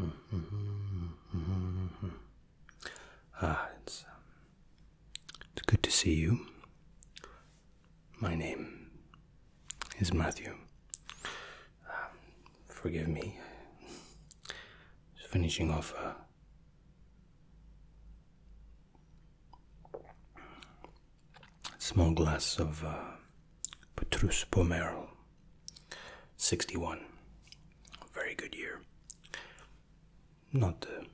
Mm-hmm. Ah, it's, um, it's good to see you. My name is Matthew. Um, forgive me. Just finishing off a small glass of uh, Petrus Pomerol. 61. Very good year. Not the,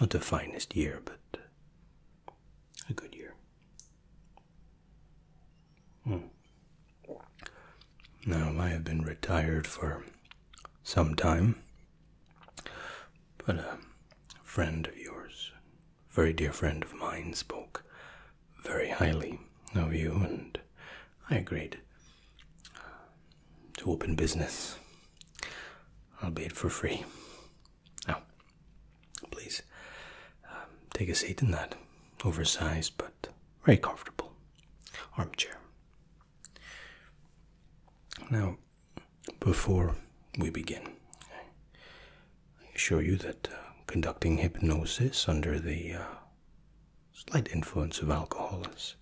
not the finest year, but a good year. Hmm. Now, I have been retired for some time, but a friend of yours, a very dear friend of mine, spoke very highly of you, and I agreed to open business, I'll be it for free. Now, please um, take a seat in that oversized but very comfortable armchair. Now, before we begin, I assure you that uh, conducting hypnosis under the uh, slight influence of alcohol is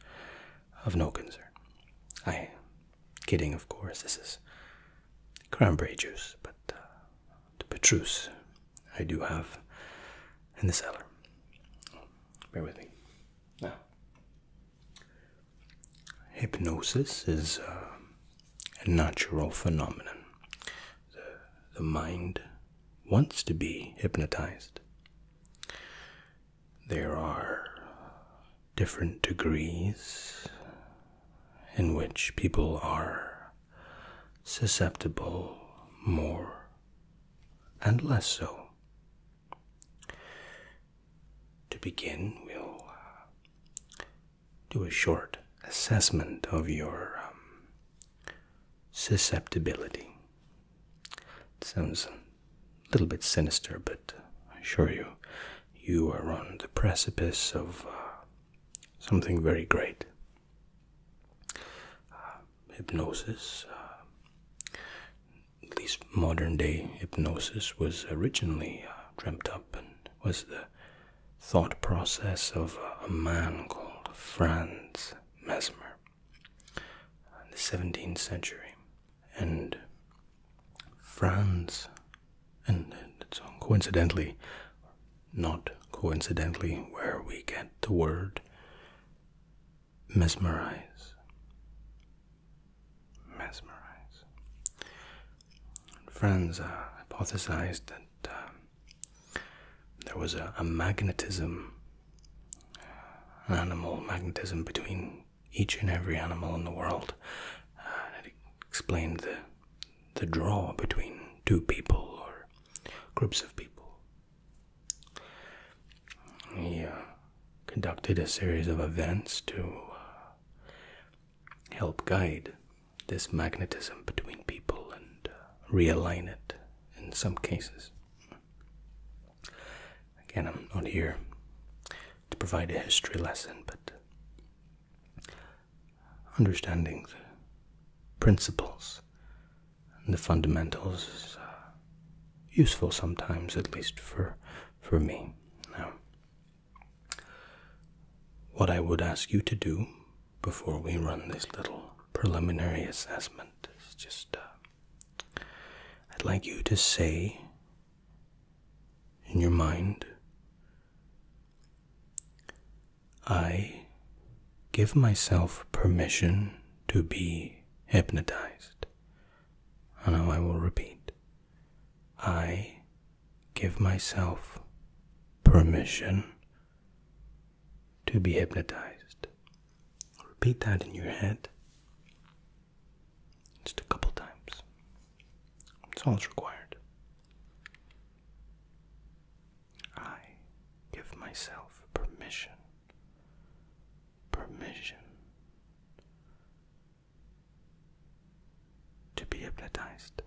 of no concern. I am kidding, of course. This is cranberry juice, but uh, the petrus I do have in the cellar. Bear with me. Now, hypnosis is uh, a natural phenomenon the, mind wants to be hypnotized. There are different degrees in which people are susceptible more and less so. To begin, we'll do a short assessment of your um, susceptibility. It sounds a little bit sinister, but I assure you, you are on the precipice of uh, something very great. Uh, hypnosis, uh, at least modern day hypnosis, was originally uh, dreamt up and was the thought process of a man called Franz Mesmer in the 17th century, and France, and so coincidentally, not coincidentally, where we get the word mesmerize. Mesmerize. Franz uh, hypothesized that um, there was a, magnetism, an animal magnetism between each and every animal in the world. and it explained the, the draw between two people or groups of people. He uh, conducted a series of events to uh, help guide this magnetism between people and uh, realign it in some cases. Again, I'm not here to provide a history lesson, but understanding the principles and the fundamentals is uh, useful sometimes, at least for, for me. Now, what I would ask you to do before we run this little preliminary assessment just uh, I'd like you to say in your mind I give myself permission to be hypnotized. And now I will repeat. I give myself permission to be hypnotized. Repeat that in your head just a couple times. That's all it's required. I give myself permission, permission to be hypnotized.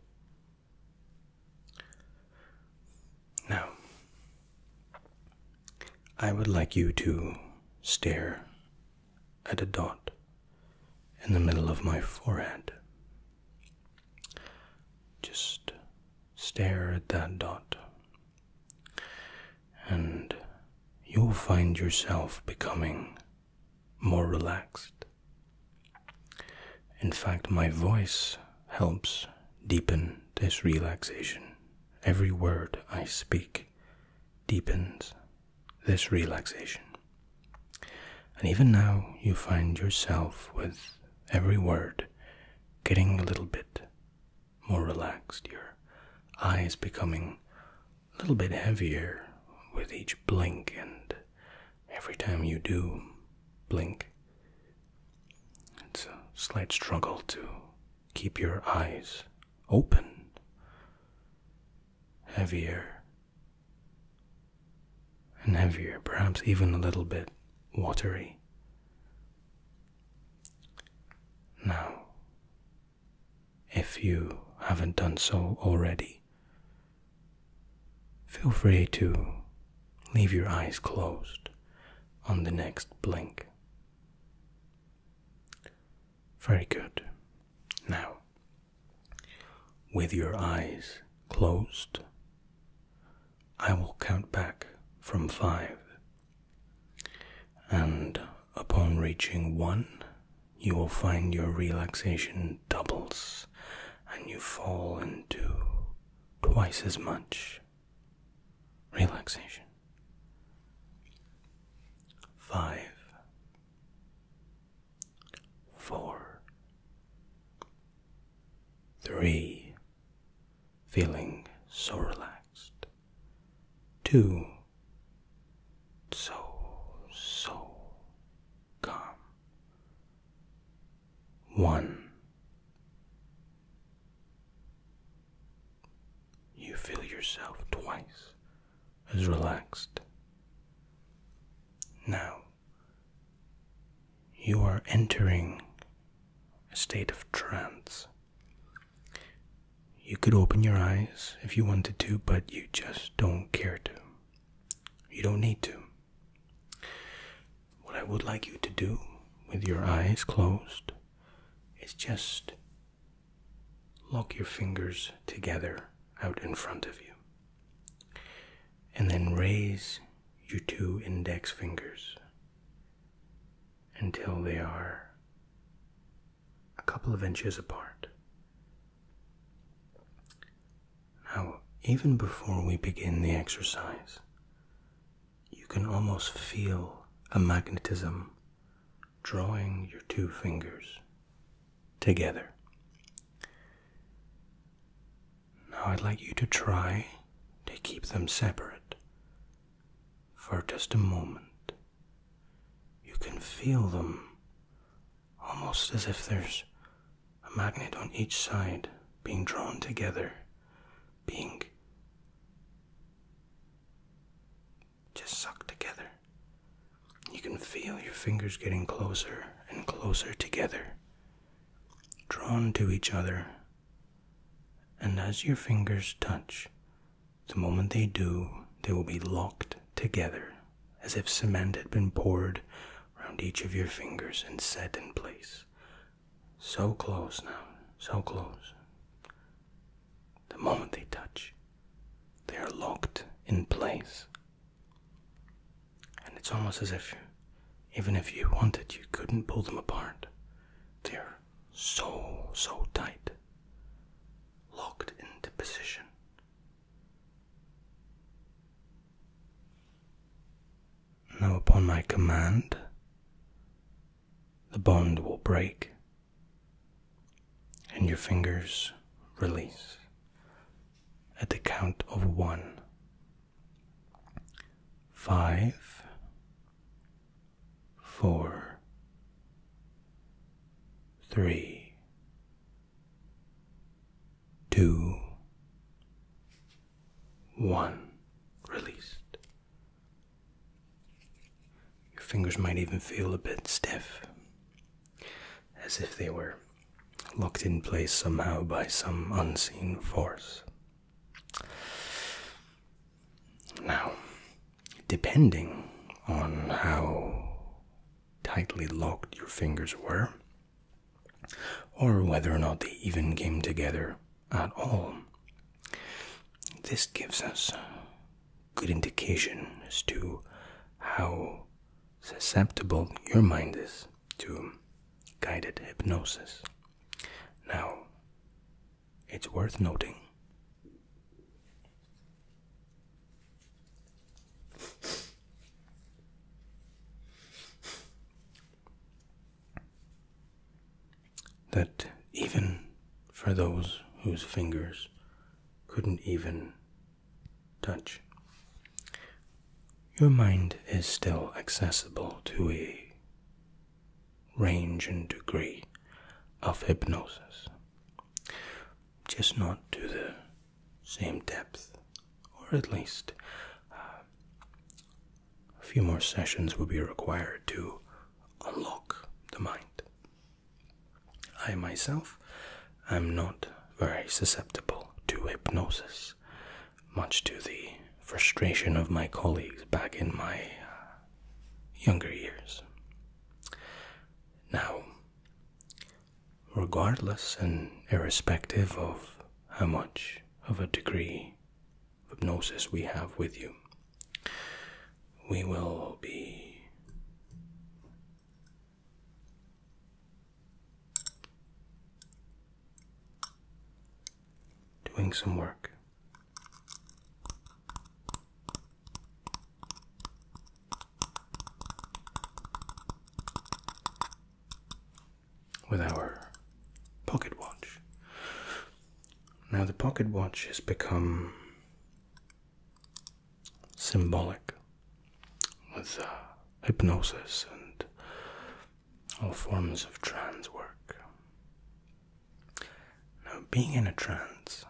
Now, I would like you to stare at a dot in the middle of my forehead. Just stare at that dot, and you'll find yourself becoming more relaxed in fact, my voice helps deepen this relaxation. Every word I speak deepens this relaxation. And even now, you find yourself with every word getting a little bit more relaxed, your eyes becoming a little bit heavier with each blink and every time you do blink, it's a slight struggle to keep your eyes open, heavier and heavier, perhaps even a little bit watery. Now, if you haven't done so already, Feel free to leave your eyes closed on the next blink. Very good. Now, with your eyes closed, I will count back from five, and upon reaching one, you will find your relaxation doubles and you fall into twice as much relaxation. Five, four, three, feeling so relaxed, two, so, so calm. One. You feel yourself twice as relaxed. Now, you are entering a state of trance. You could open your eyes if you wanted to, but you just don't care to. You don't need to. What I would like you to do with your eyes closed is just lock your fingers together out in front of you. And then raise your two index fingers until they are a couple of inches apart. Now, even before we begin the exercise, you can almost feel a magnetism drawing your two fingers together. Now, I'd like you to try to keep them separate for just a moment. You can feel them almost as if there's a magnet on each side being drawn together, being just sucked together. You can feel your fingers getting closer and closer together, drawn to each other. And as your fingers touch, the moment they do, they will be locked together, as if cement had been poured round each of your fingers and set in place. So close now, so close. The moment they touch, they are locked in place. And it's almost as if, even if you wanted, you couldn't pull them apart. They're so, so tight, locked into position. Now, upon my command, the bond will break and your fingers release at the count of one, five, four, three two, one. Released. Your fingers might even feel a bit stiff, as if they were locked in place somehow by some unseen force. Now, depending on how tightly locked your fingers were, or whether or not they even came together at all. This gives us good indications to how susceptible your mind is to guided hypnosis. Now, it's worth noting that even for those whose fingers couldn't even touch, your mind is still accessible to a range and degree of hypnosis, just not to the same depth, or at least uh, a few more sessions will be required to unlock the mind. I myself am not very susceptible to hypnosis, much to the frustration of my colleagues back in my uh, younger years. Now, regardless and irrespective of how much of a degree of hypnosis we have with you. We will be doing some work with our pocket watch. Now, the pocket watch has become symbolic with uh, hypnosis and all forms of trance work. Now, being in a trance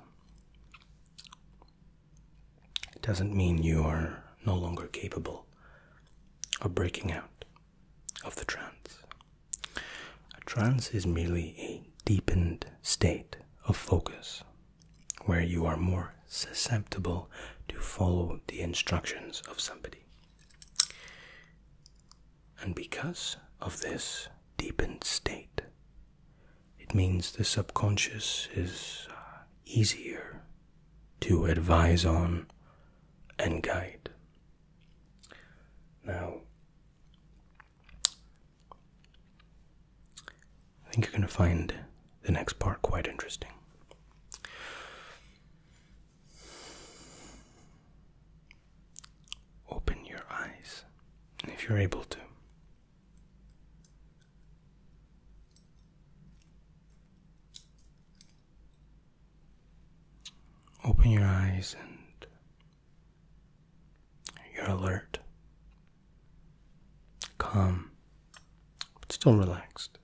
it doesn't mean you are no longer capable of breaking out of the trance. A trance is merely a deepened state of focus where you are more susceptible to follow the instructions of somebody. And because of this deepened state, it means the subconscious is uh, easier to advise on and guide. Now, I think you're going to find the next part quite interesting. Open your eyes if you're able to. Open your eyes and you're alert, calm, but still relaxed.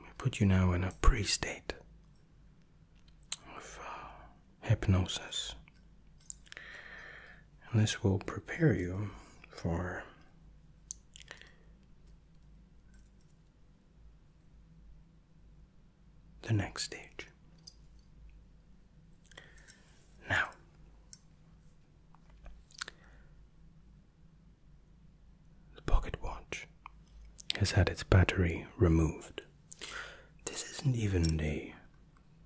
We put you now in a pre state of uh, hypnosis and this will prepare you for the next stage. Now, the pocket watch has had its battery removed. This isn't even the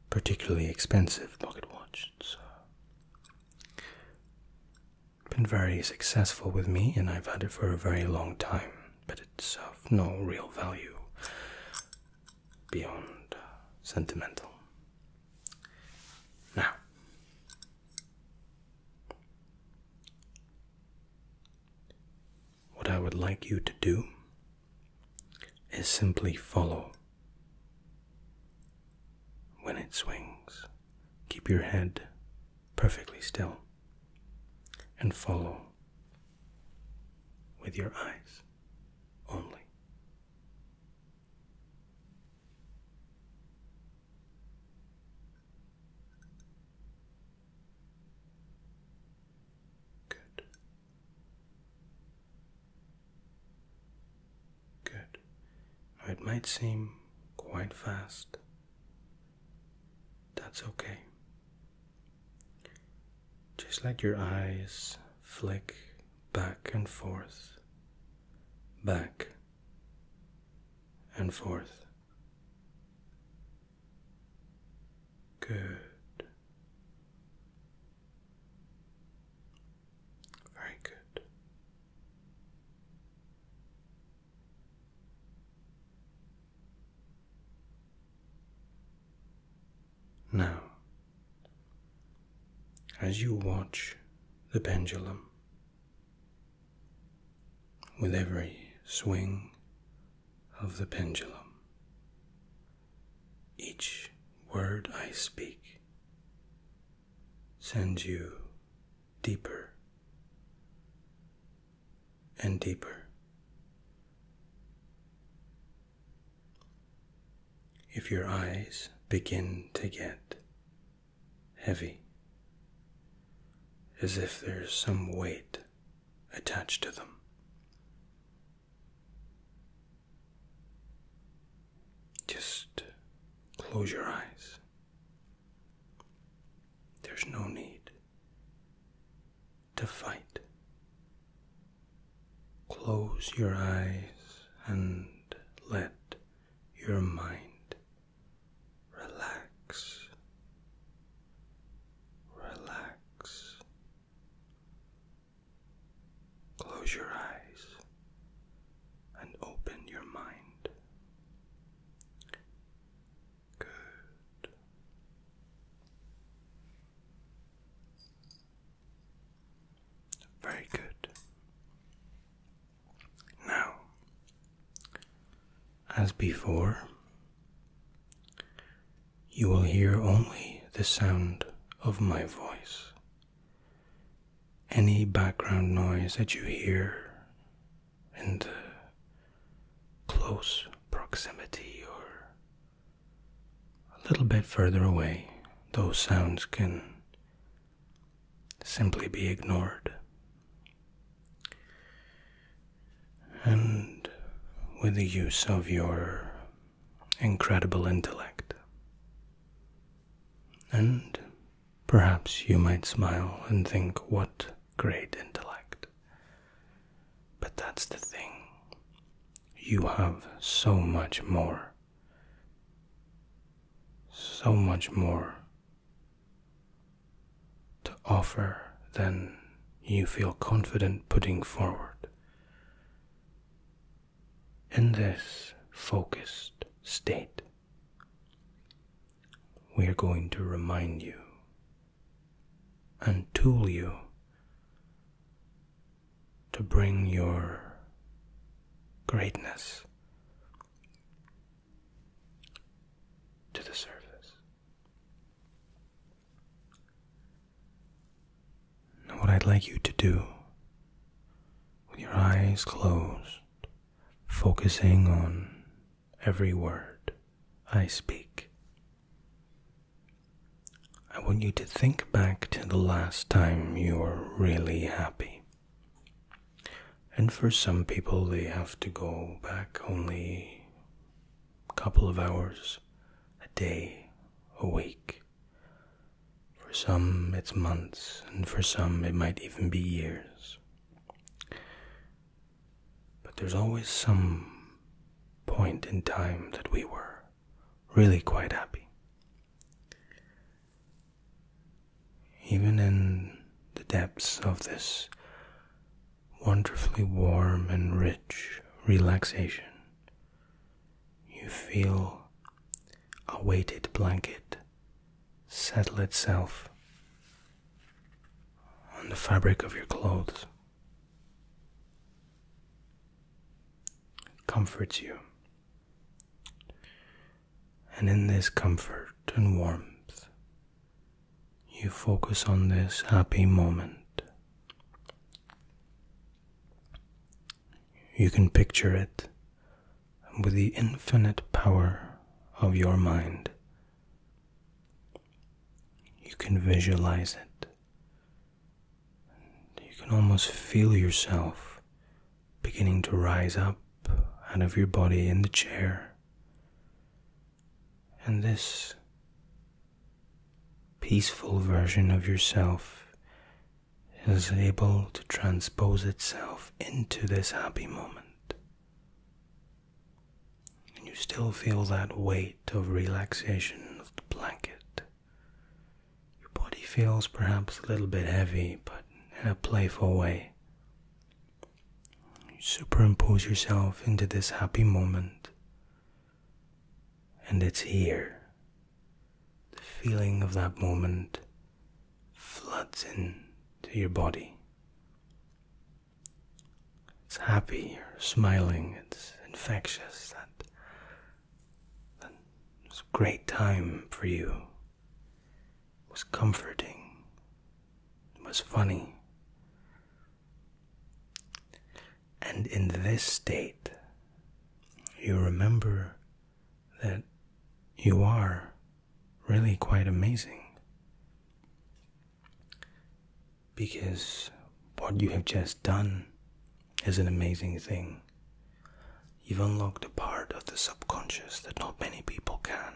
particularly expensive pocket watch. It's uh, been very successful with me, and I've had it for a very long time, but it's of no real value beyond uh, sentimental. Now, what I would like you to do is simply follow when it swings, keep your head perfectly still and follow with your eyes only. Good. Good. it might seem quite fast. That's okay. Just let your eyes flick back and forth, back and forth. Good. Very good. Now, as you watch the pendulum, with every swing of the pendulum, each word I speak sends you deeper and deeper. If your eyes begin to get heavy, as if there's some weight attached to them, just close your eyes. There's no need to fight. Close your eyes and let your mind relax. Relax. Close your eyes and open your mind. Good. Very good. Now, as before, you will hear only the sound of my voice. Any background noise that you hear in the close proximity or a little bit further away, those sounds can simply be ignored. And with the use of your incredible intellect. And perhaps you might smile and think, what great intellect. But that's the thing. You have so much more. So much more to offer than you feel confident putting forward. In this focused state, we are going to remind you and tool you to bring your greatness to the surface. Now, what I'd like you to do with your eyes closed, focusing on every word I speak, I want you to think back to the last time you were really happy. And for some people, they have to go back only a couple of hours, a day, a week. For some, it's months, and for some, it might even be years. But there's always some point in time that we were really quite happy. Even in the depths of this wonderfully warm and rich relaxation, you feel a weighted blanket settle itself on the fabric of your clothes. comforts you. And in this comfort and warmth, you focus on this happy moment. You can picture it with the infinite power of your mind. You can visualize it. You can almost feel yourself beginning to rise up out of your body in the chair. And this peaceful version of yourself is able to transpose itself into this happy moment. And you still feel that weight of relaxation of the blanket. Your body feels perhaps a little bit heavy, but in a playful way. You superimpose yourself into this happy moment and it's here. The feeling of that moment floods into your body. It's happy, you're smiling, it's infectious. That, that was a great time for you. It was comforting, it was funny. And in this state, you remember that you are really quite amazing. Because what you have just done is an amazing thing. You've unlocked a part of the subconscious that not many people can.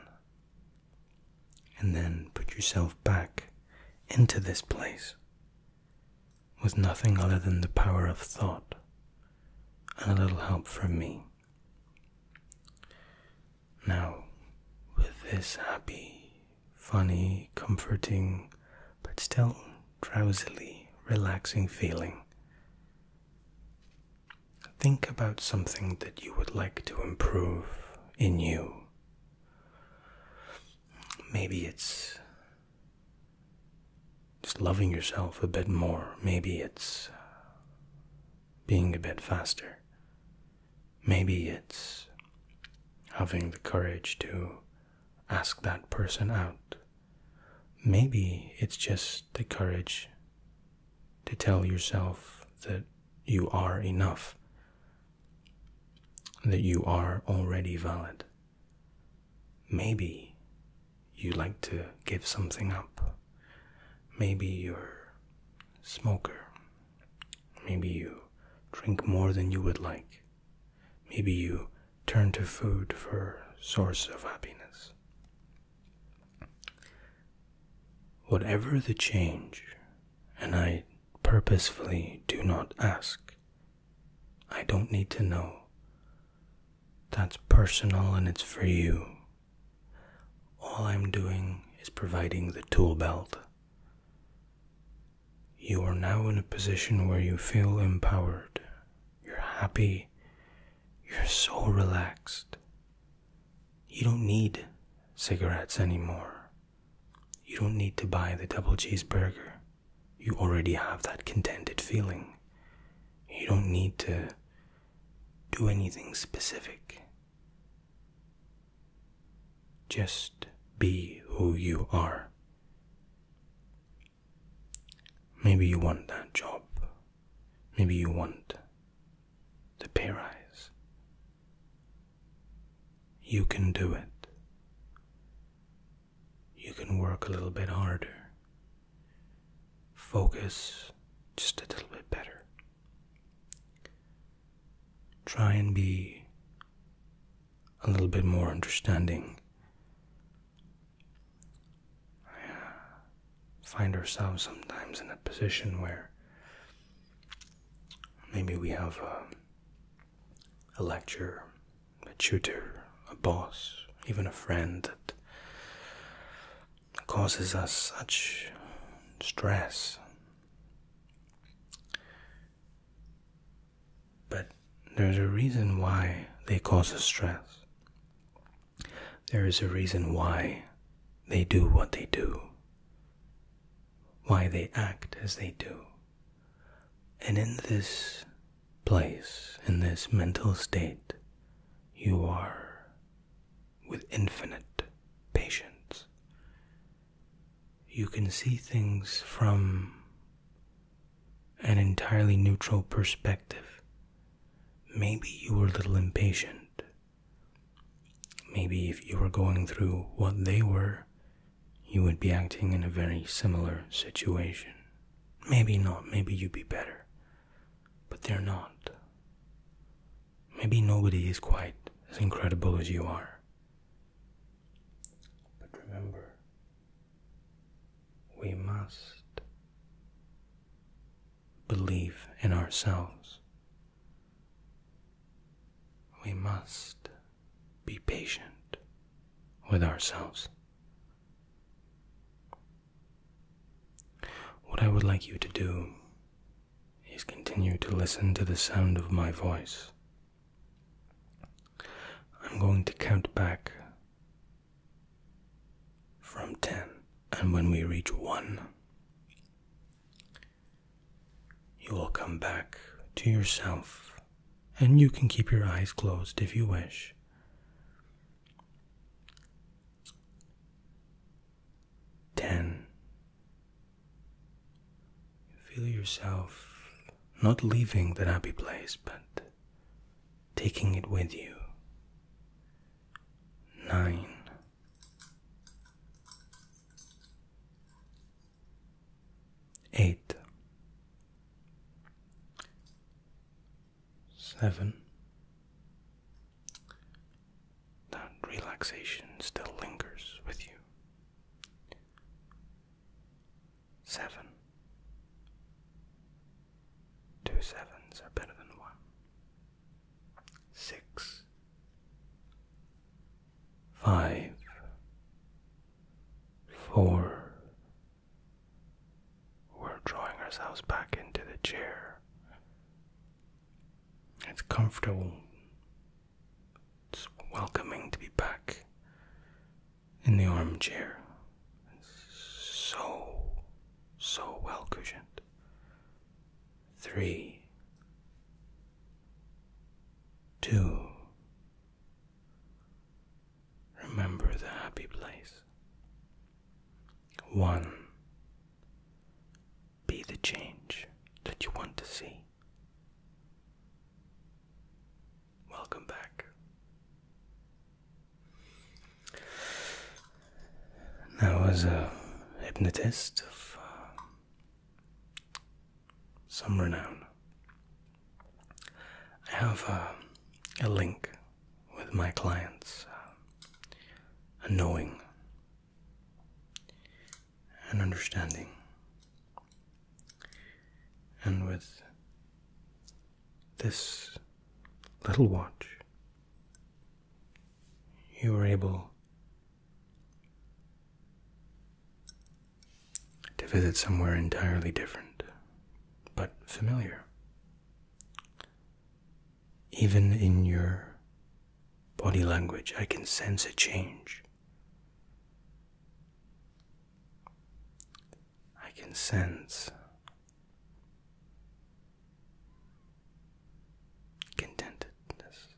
And then put yourself back into this place with nothing other than the power of thought and a little help from me. Now, with this happy, funny, comforting, but still drowsily relaxing feeling, think about something that you would like to improve in you. Maybe it's just loving yourself a bit more. Maybe it's being a bit faster. Maybe it's having the courage to ask that person out. Maybe it's just the courage to tell yourself that you are enough, that you are already valid. Maybe you like to give something up. Maybe you're a smoker. Maybe you drink more than you would like. Maybe you turn to food for source of happiness. Whatever the change, and I purposefully do not ask I don't need to know. That's personal and it's for you. All I'm doing is providing the tool belt. You are now in a position where you feel empowered. You're happy. You're so relaxed. You don't need cigarettes anymore. You don't need to buy the double cheeseburger you already have that contented feeling. You don't need to do anything specific. Just be who you are. Maybe you want that job. Maybe you want the pay rise. You can do it you can work a little bit harder. Focus just a little bit better. Try and be a little bit more understanding. I find ourselves sometimes in a position where maybe we have uh, a lecturer, a tutor, a boss, even a friend that causes us such stress. But there's a reason why they cause us stress. There is a reason why they do what they do, why they act as they do. And in this place, in this mental state, you are with infinite patience. You can see things from an entirely neutral perspective. Maybe you were a little impatient. Maybe if you were going through what they were, you would be acting in a very similar situation. Maybe not, maybe you'd be better. But they're not. Maybe nobody is quite as incredible as you are. But remember, we must believe in ourselves. We must be patient with ourselves. What I would like you to do is continue to listen to the sound of my voice. I'm going to count back from 10, and when we reach 1, you will come back to yourself and you can keep your eyes closed if you wish. Ten. Feel yourself not leaving the happy place, but taking it with you. Nine eight, seven. That relaxation still lingers with you. Seven. Two sevens are better than one. Six. Five. Four. We're drawing ourselves back into the chair. It's comfortable. It's welcoming to be back in the armchair. so, so well cushioned. Three, two, Remember the happy place. 1. Be the change that you want to see. Welcome back. Now, as a hypnotist of um, some renown. I have uh, a link with my clients, uh, a knowing, an understanding, and with this little watch, you are able to visit somewhere entirely different, but familiar. Even in your body language, I can sense a change. I can sense contentedness.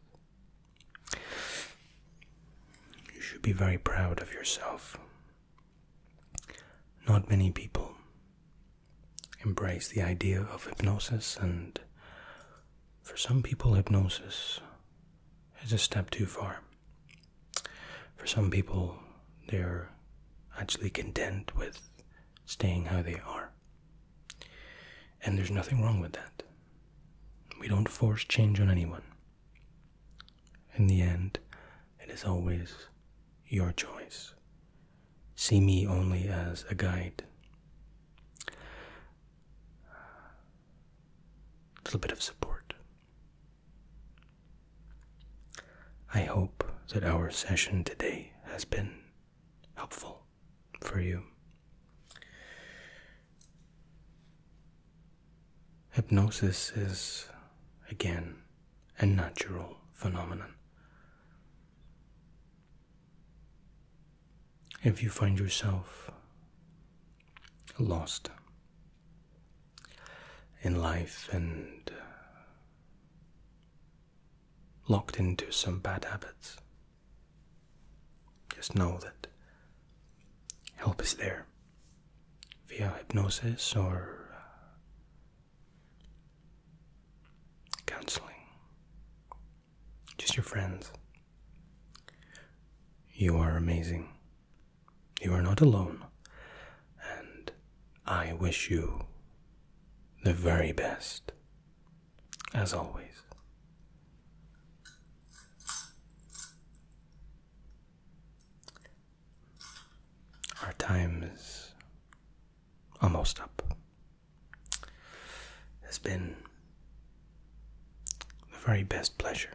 You should be very proud of yourself. Not many people embrace the idea of hypnosis, and for some people, hypnosis is a step too far. For some people, they're actually content with staying how they are. And there's nothing wrong with that. We don't force change on anyone. In the end, it is always your choice. See me only as a guide. A little bit of support. I hope that our session today has been helpful for you. Hypnosis is again a natural phenomenon. If you find yourself lost in life and locked into some bad habits, just know that help is there via hypnosis or uh, counseling. Just your friends. You are amazing. You are not alone. And I wish you the very best, as always. Our time is almost up. It's been the very best pleasure.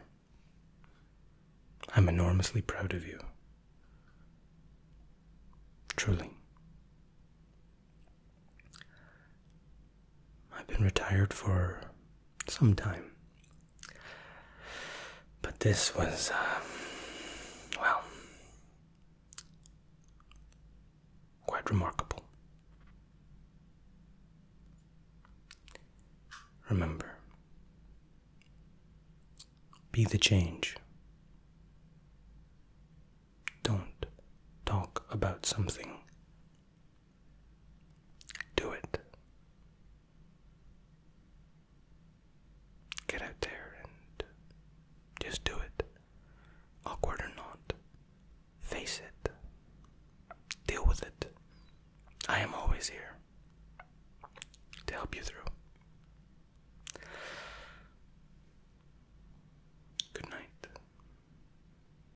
I'm enormously proud of you. Truly. I've been retired for some time. But this was, uh, well, quite remarkable. Remember, be the change. Don't talk about something do it. Get out there and just do it. Awkward or not, face it. Deal with it. I am always here to help you through. Good night.